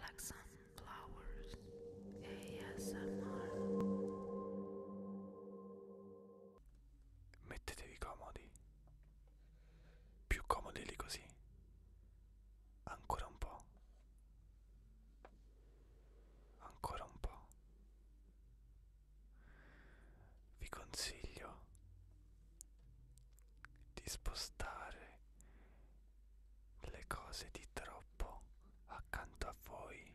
Like Sunflowers ASMR Mettetevi comodi Più comodi lì così Ancora un po' Ancora un po' Vi consiglio di spostare le cose di troppo accanto a voi,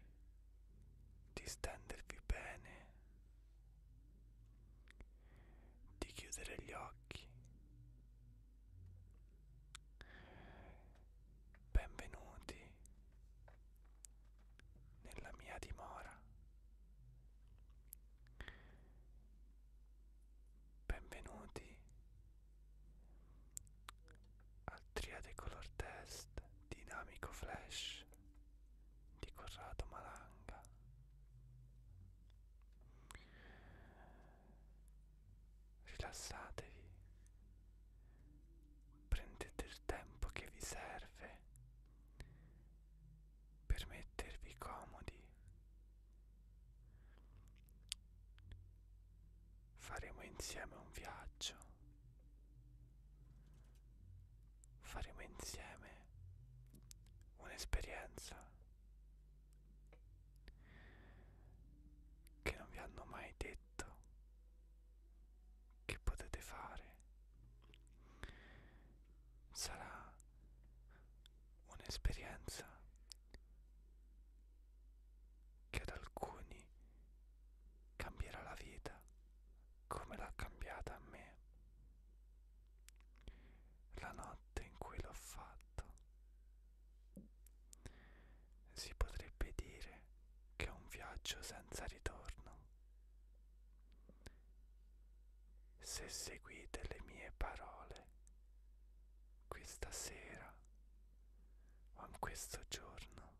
di stendervi bene, di chiudere gli occhi. Benvenuti nella mia dimora. Benvenuti al triade color test dinamico flash di Corrado Malanga. Rilassatevi, prendete il tempo che vi serve per mettervi comodi Faremo insieme un viaggio. Faremo insieme un'esperienza che non vi hanno mai detto che potete fare. Sarà un'esperienza che ad alcuni cambierà la vita come l'ha cambiata a me. La notte in cui l'ho fatto. Si potrebbe dire che è un viaggio senza ritorno. Se seguite le mie parole questa sera o in questo giorno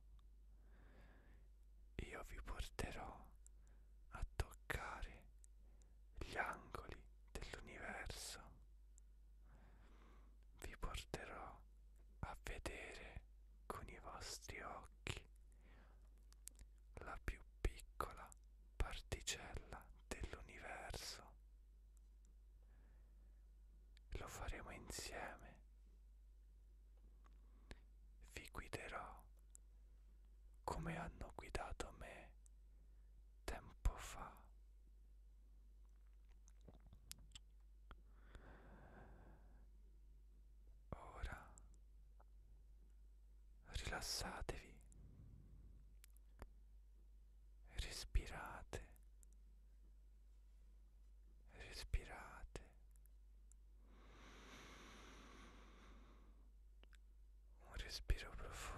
io vi porterò a toccare gli angoli dell'universo vi porterò a vedere con i vostri occhi la più piccola particella dell'universo lo faremo insieme. Vi guiderò come hanno guidato me tempo fa. Ora rilassatevi respirate, respirate. Un respiro profondo.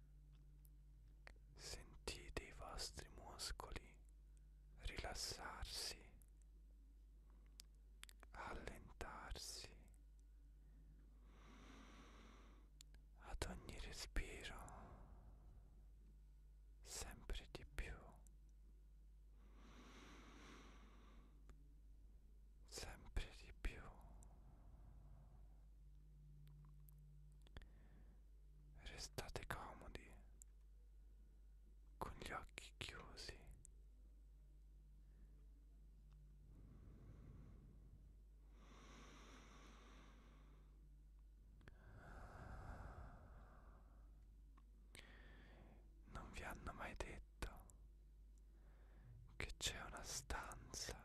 Sentite i vostri muscoli rilassarsi, allentarsi. Ad ogni respiro sempre di più, sempre di più. Restate comodi con gli occhi chiusi. Non vi hanno mai detto che c'è una stanza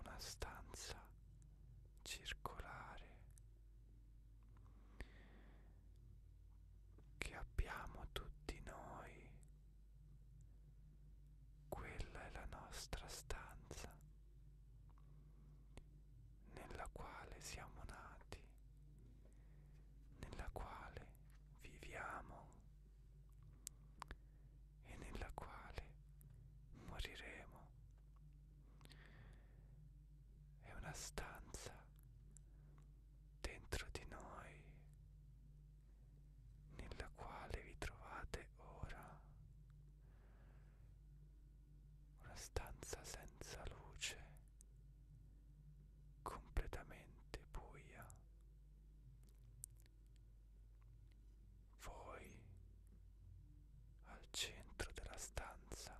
una stanza circolare che abbiamo tutti noi. Quella è la nostra stanza nella quale siamo nati, nella quale viviamo e nella quale moriremo. È una stanza dentro di noi nella quale vi trovate ora. Una stanza senza luce, completamente buia voi al centro della stanza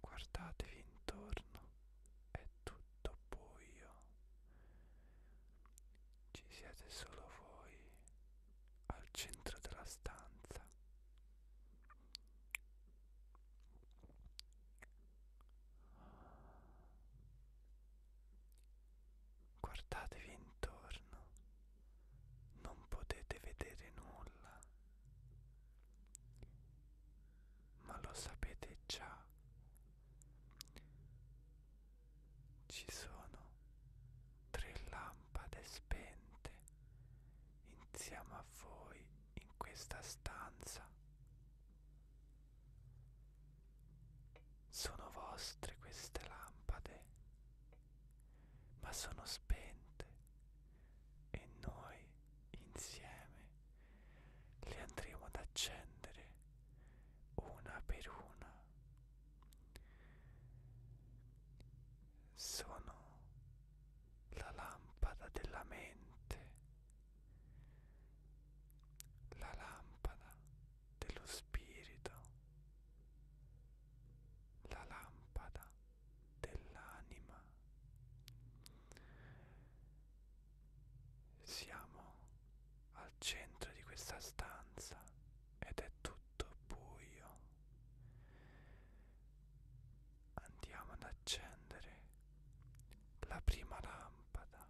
guardatevi intorno, è tutto buio, ci siete solo voi al centro della stanza. Guardatevi intorno, non potete vedere nulla, ma lo sapete già. Ci sono tre lampade spente insieme a voi in questa stanza. Sono vostre queste lampade, ma sono spente e noi insieme le andremo ad accendere una per una. Sono la lampada della mente, la lampada dello spirito, la lampada dell'anima. Siamo al centro di questa stanza ed è tutto buio. Andiamo ad accendere la prima lampada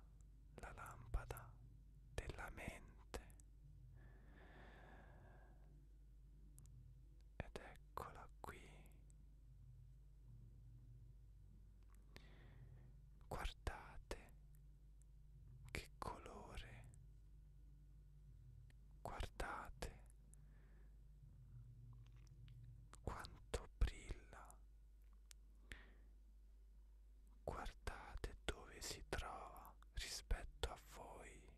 la lampada della mente ed eccola qui guardate che colore guardate quanto brilla guardate dove si trova rispetto a voi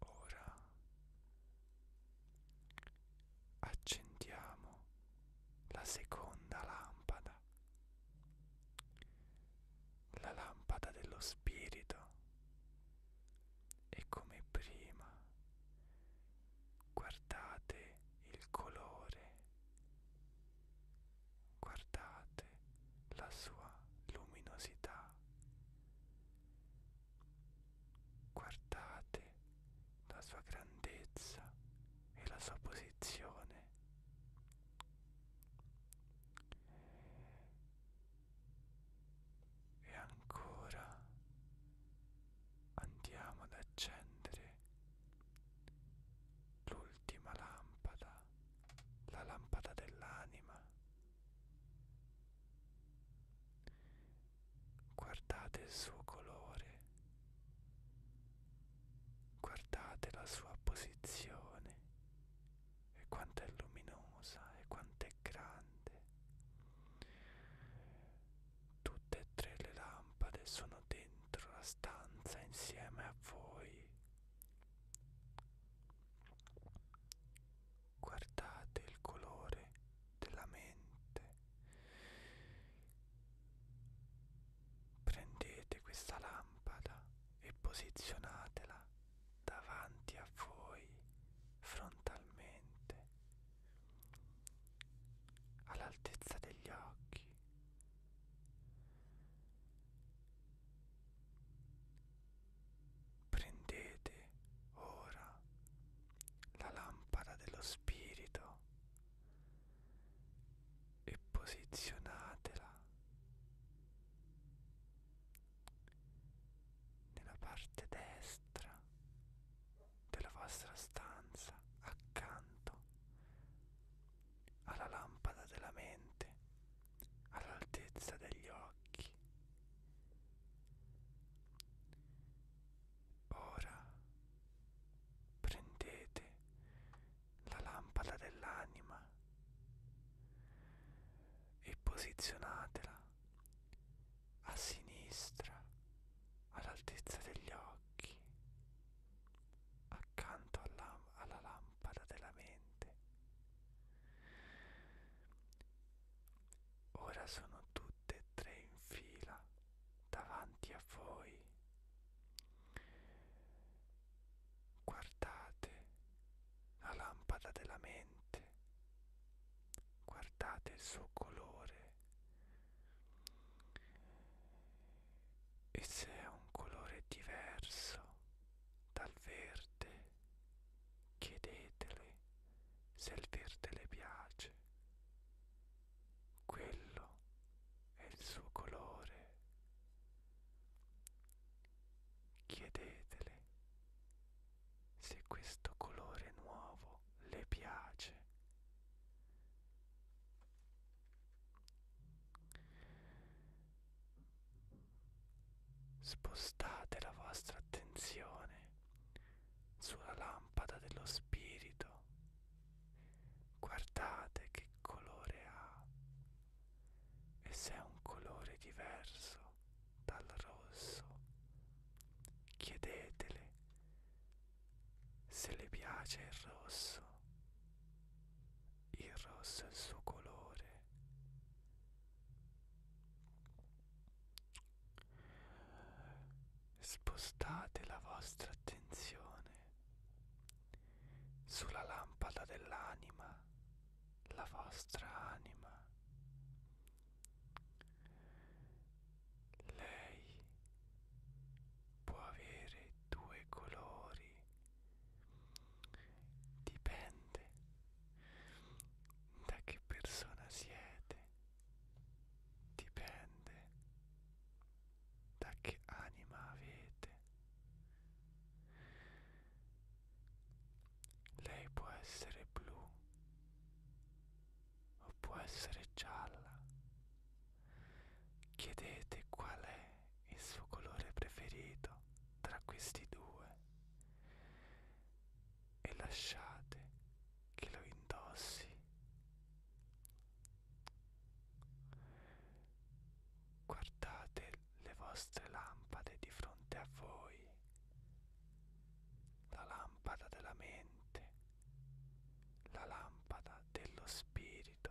ora accendiamo la seconda lampada la lampada dello spirito e come prima guardate il colore, guardate la sua luminosità, guardate la sua grandezza e la sua posizione. E ancora andiamo ad accendere l'ultima lampada, la lampada dell'anima. Guardate il suo colore, guardate la sua posizione e quanto è luminosa e quanto è grande. Tutte e tre le lampade sono dentro la stanza insieme a voi. Guardate il colore della mente. Prendete questa lampada e posizionatela davanti a voi frontalmente all'altezza degli occhi. Prendete ora la lampada dello spirito e posizionatela nella parte destra della vostra stanza accanto alla lampada della mente, all'altezza degli occhi. Ora prendete la lampada dell'anima e posizionatela a sinistra, all'altezza degli occhi, accanto alla, alla lampada della mente. Ora sono tutte e tre in fila davanti a voi. Guardate la lampada della mente, guardate il suo colore, e se è un colore diverso dal verde chiedetele se il verde le piace quello è il suo colore chiedetele se questo colore nuovo le piace Spostate la vostra attenzione sulla lampada dello spirito. Guardate che colore ha e se è un colore diverso dal rosso. Chiedetele se le piace il rosso, il rosso è il suo colore. Spostate la vostra attenzione sulla lampada dell'anima, la vostra anima, lei può avere due colori, dipende da che persona siete, dipende da che anima avete. Lei può essere blu o può essere gialla. Chiedete qual è il suo colore preferito tra questi due e lasciate che lo indossi. Guardate le vostre lampade di fronte a voi, la lampada della mente, la lampada dello spirito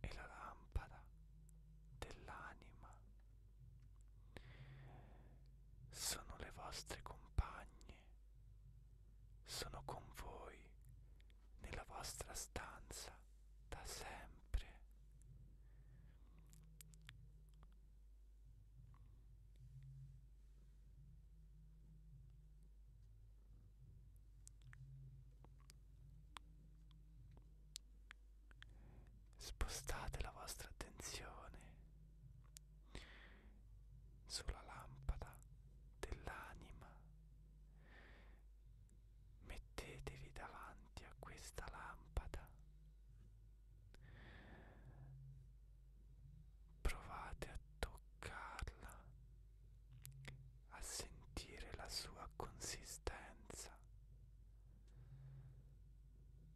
e la lampada dell'anima. Sono le vostre compagne, sono con voi nella vostra stanza da sempre. Spostate la vostra attenzione sulla lampada dell'anima. Mettetevi davanti a questa lampada Provate a toccarla, a sentire la sua consistenza.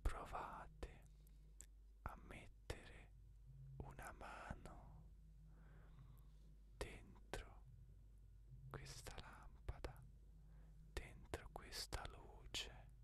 Provate a mettere una mano dentro questa lampada, dentro questa luce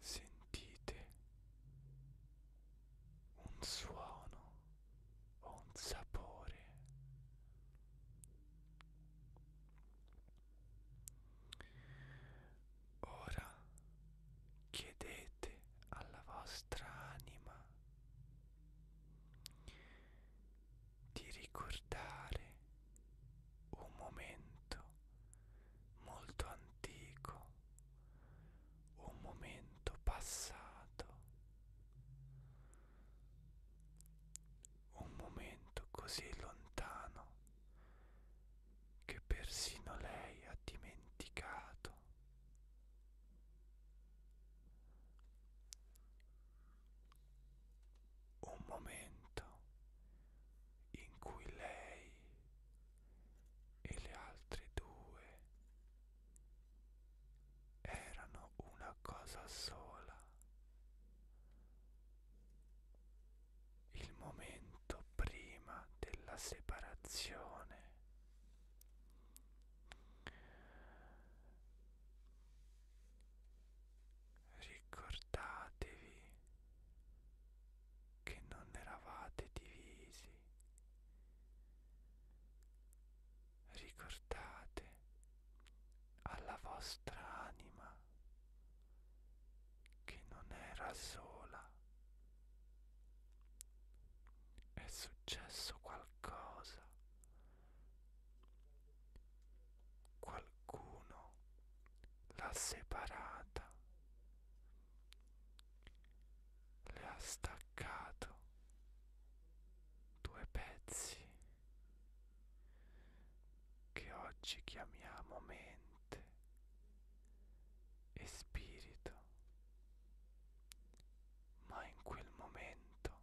Sentite un suono o un sapore. Ora chiedete alla vostra anima di ricordare un momento molto antico, un momento passato, un momento così lontano che persino lei ha dimenticato un momento in cui lei e le altre due erano una cosa sola. Il momento prima della separazione. Ricordatevi che non eravate divisi. Ricordate alla vostra anima che non era sola. È successo qualcosa qualcuno l'ha separata, le ha staccato due pezzi che oggi chiamiamo mente e spirito, ma in quel momento,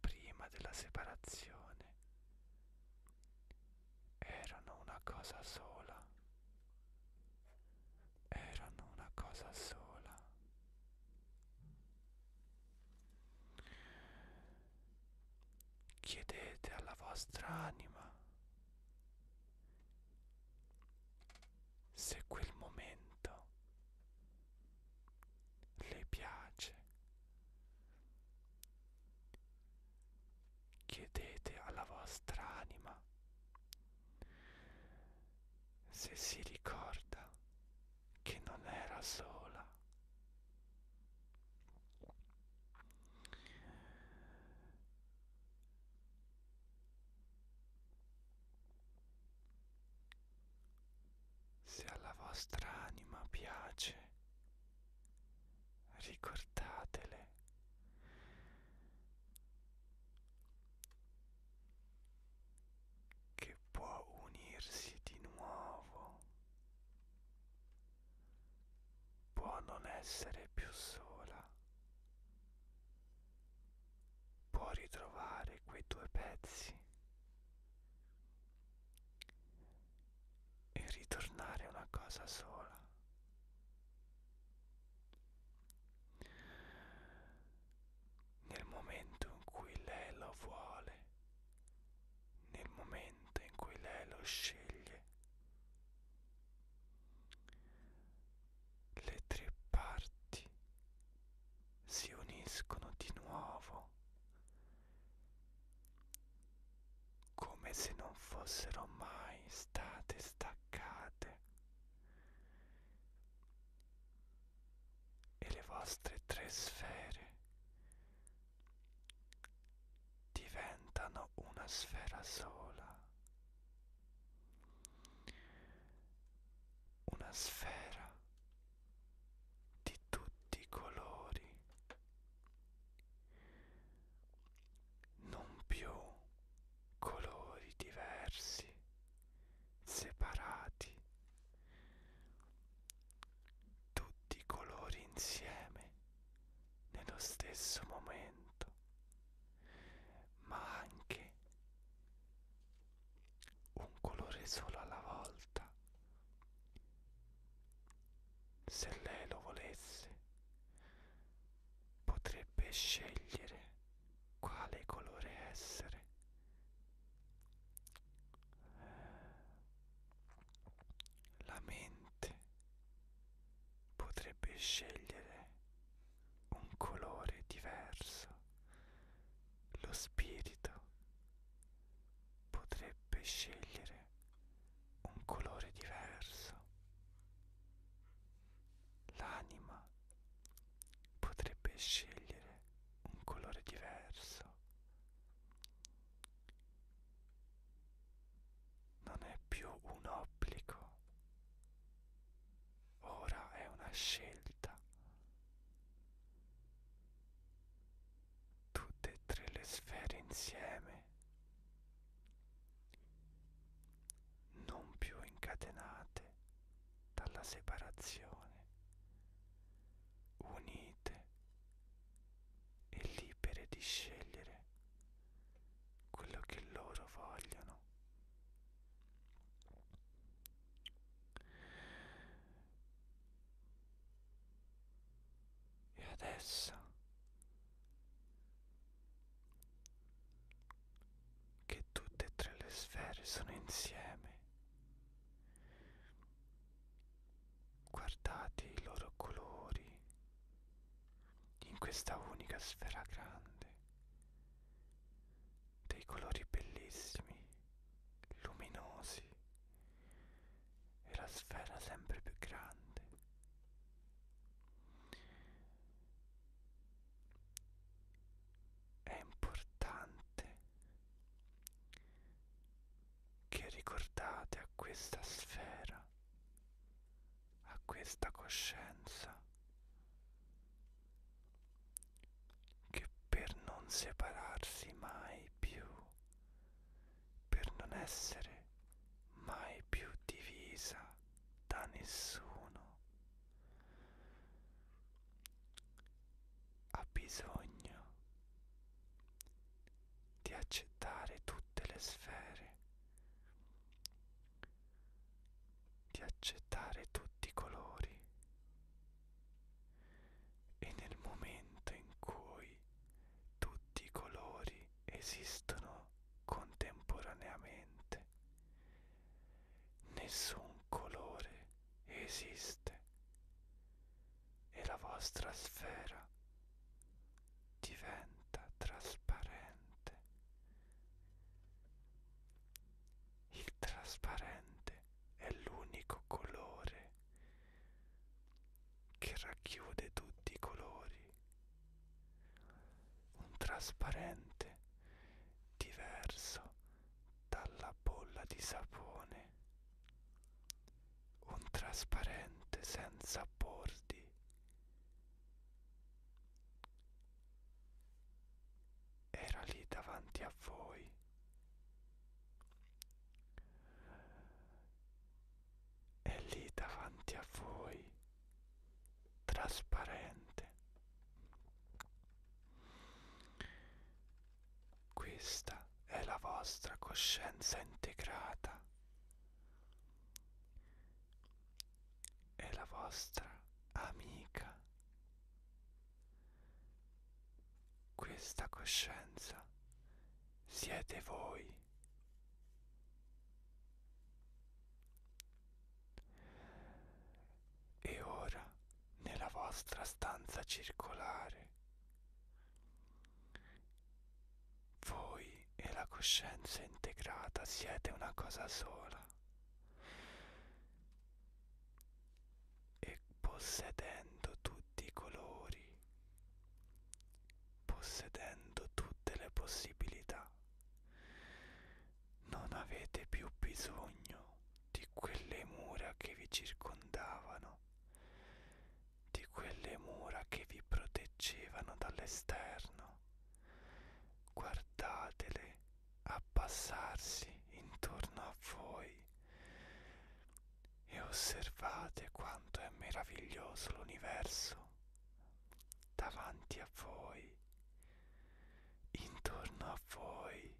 prima della separazione, erano una cosa sola, erano una cosa sola. Chiedete alla vostra anima se quel momento le piace Chiedete alla vostra anima se si ricorda che non era sola. Se alla vostra anima piace ricordatele. Che può unirsi di nuovo, può non essere più sola, può ritrovare quei due pezzi e ritornare una cosa sola. Nel momento in cui lei lo vuole, nel momento in cui lei lo sceglie, le tre parti si uniscono di nuovo come se non fossero mai state staccate e le vostre tre sfere diventano una sfera sola, una sfera di tutti i colori, non più colori diversi, separati, tutti i colori insieme nello stesso momento, ma anche un colore solo alla volta se lei lo volesse, potrebbe scegliere quale colore essere. La mente potrebbe scegliere un colore diverso. Lo spirito potrebbe scegliere un colore diverso. L'anima potrebbe scegliere un colore diverso. Non è più un obbligo, ora è una scelta tutte e tre le sfere insieme, non più incatenate dalla separazione, unite e libere di scegliere quello che loro vogliono. E adesso che tutte e tre le sfere sono insieme, guardate i loro colori in questa unica sfera grande, dei colori bellissimi, luminosi e la sfera sempre più grande. È importante che ricordate a questa sfera, a questa coscienza, che per non separarsi mai più per non essere mai più divisa da nessuno. Ha bisogno di accettare tutte le sfere, di accettare tutti i colori, e nel momento in cui tutti i colori esistono contemporaneamente, nessun colore esiste e la vostra sfera diventa trasparente. Il trasparente è l'unico colore che racchiude tutti i colori, un trasparente diverso dalla bolla di sapone, un trasparente senza bordi. Era lì davanti a voi è lì davanti a voi trasparente questa è la vostra coscienza integrata è la vostra amica questa coscienza siete voi. E ora nella vostra stanza circolare, voi e la coscienza integrata siete una cosa sola e possedendo tutti i colori, possedendo tutte le possibilità, non avete più bisogno di quelle mura che vi circondavano, di quelle mura che vi proteggevano dall'esterno. Guardatele abbassarsi intorno a voi e osservate quanto è meraviglioso l'universo davanti a voi, intorno a voi.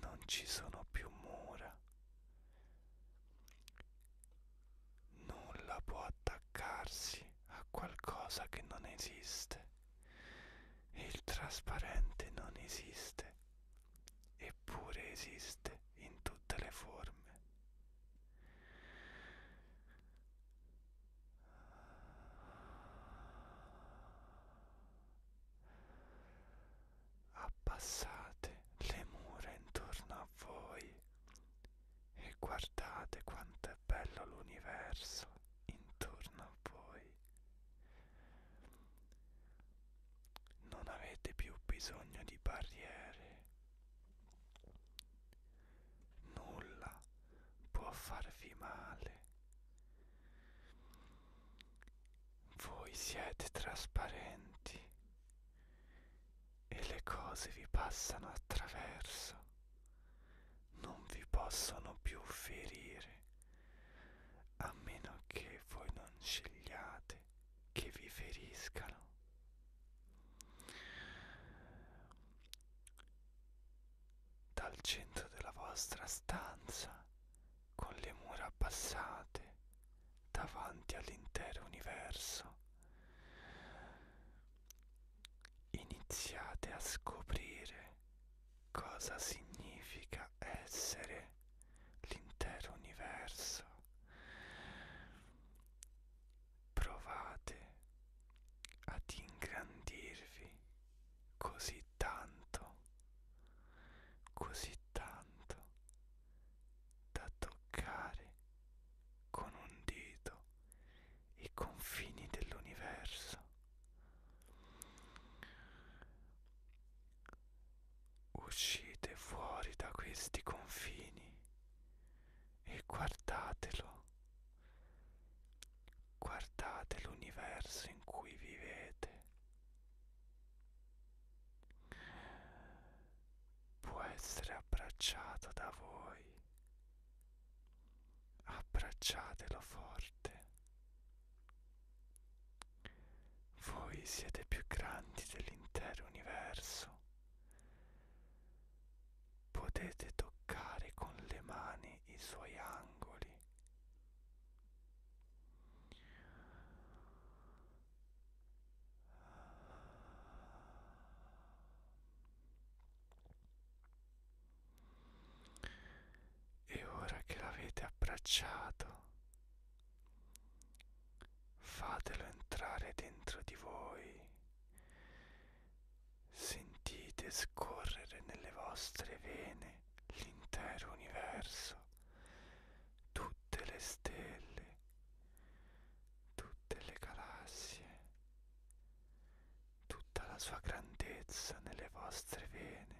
Non ci sono più mura. Nulla può attaccarsi a qualcosa che non esiste. Il trasparente non esiste e eppure esiste in tutte le forme. Abbassate le mura intorno a voi e guardate quanto è bello l'universo intorno a voi non avete più bisogno di barriere. Nulla può farvi male. Voi siete trasparenti e le cose vi passano attraverso, non vi possono più ferire a meno che voi non scegliate che vi feriscano. Dal centro della vostra stanza, con le mura abbassate, davanti all'intero universo, iniziate a scoprire cosa significa essere l'intero universo. Provate ad ingrandirvi così tanto, così tanto da toccare con un dito i confini dell'universo. Uscite fuori da questi confini e guardatelo. Guardate l'universo in cui vivete. Può essere abbracciato da voi. Abbracciatelo forte. Voi siete più grandi dell'intero universo. Potete toccare con le mani i suoi angoli. E ora che l'avete abbracciato, Fatelo entrare dentro di voi. Sentite scorrere nelle vostre vene l'intero universo, tutte le stelle, tutte le galassie, tutta la sua grandezza nelle vostre vene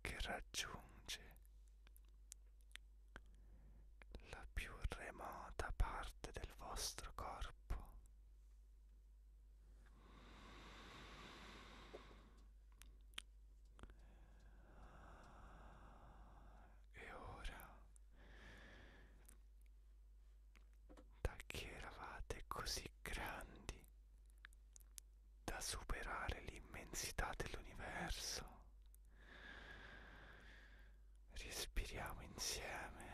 che raggiunge la più remota parte del vostro corpo. E ora, da che eravate così grandi, da superare l'immensità dell'universo. Respiriamo insieme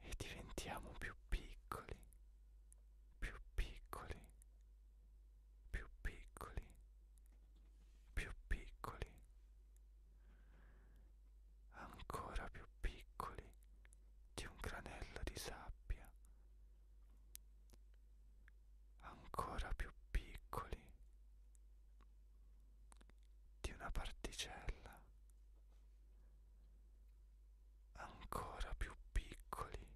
e diventiamo più piccoli, più piccoli, più piccoli, più piccoli, ancora più piccoli di un granello di sabbia ancora più piccoli di una particella, ancora più piccoli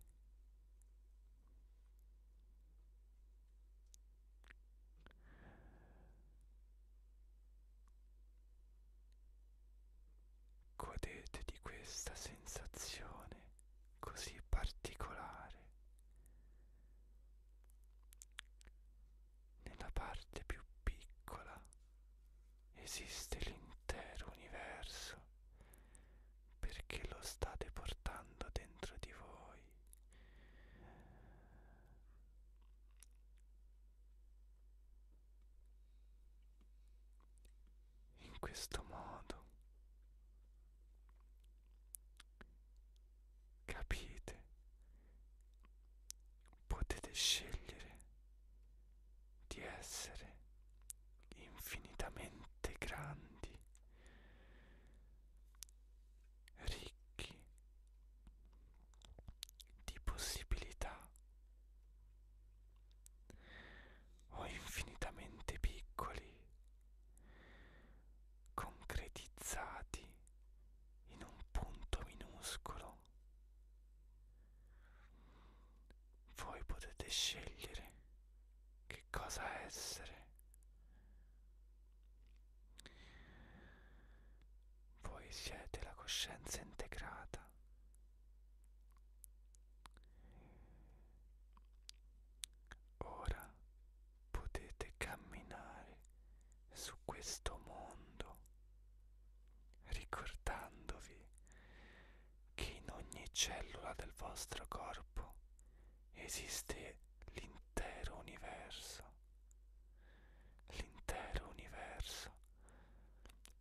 Godete di questa sensazione così particolare nella parte più piccola esiste l'intero universo perché lo state portando dentro di voi in questo modo capite potete scegliere di essere infinitamente grandi ricchi di possibilità o infinitamente piccoli, concretizzati in un punto minuscolo. Voi potete scegliere che cosa essere. Voi siete la coscienza integrata Ora potete camminare su questo mondo ricordandovi che in ogni cellula del vostro corpo esiste l'intero universo, l'intero universo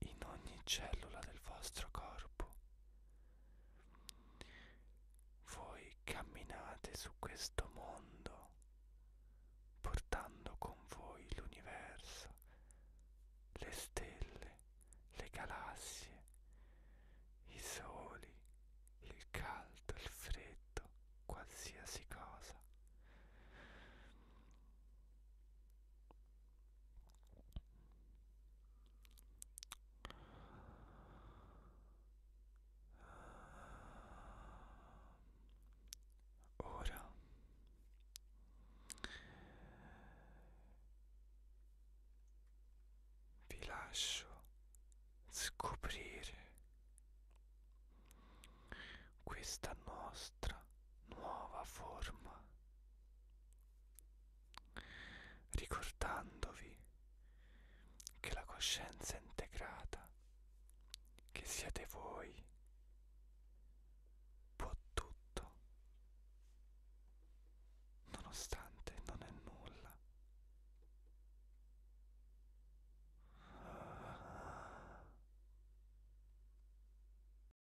in ogni cellula del vostro corpo. Voi camminate su questo mondo portando con voi l'universo, le stelle, le galassie, i soli, il caldo, il freddo, qualsiasi cosa. Ora vi lascio scoprire questa nostra nuova forma ricordandovi che la coscienza è integrata, che siete voi, può tutto, nonostante non è nulla. Ah.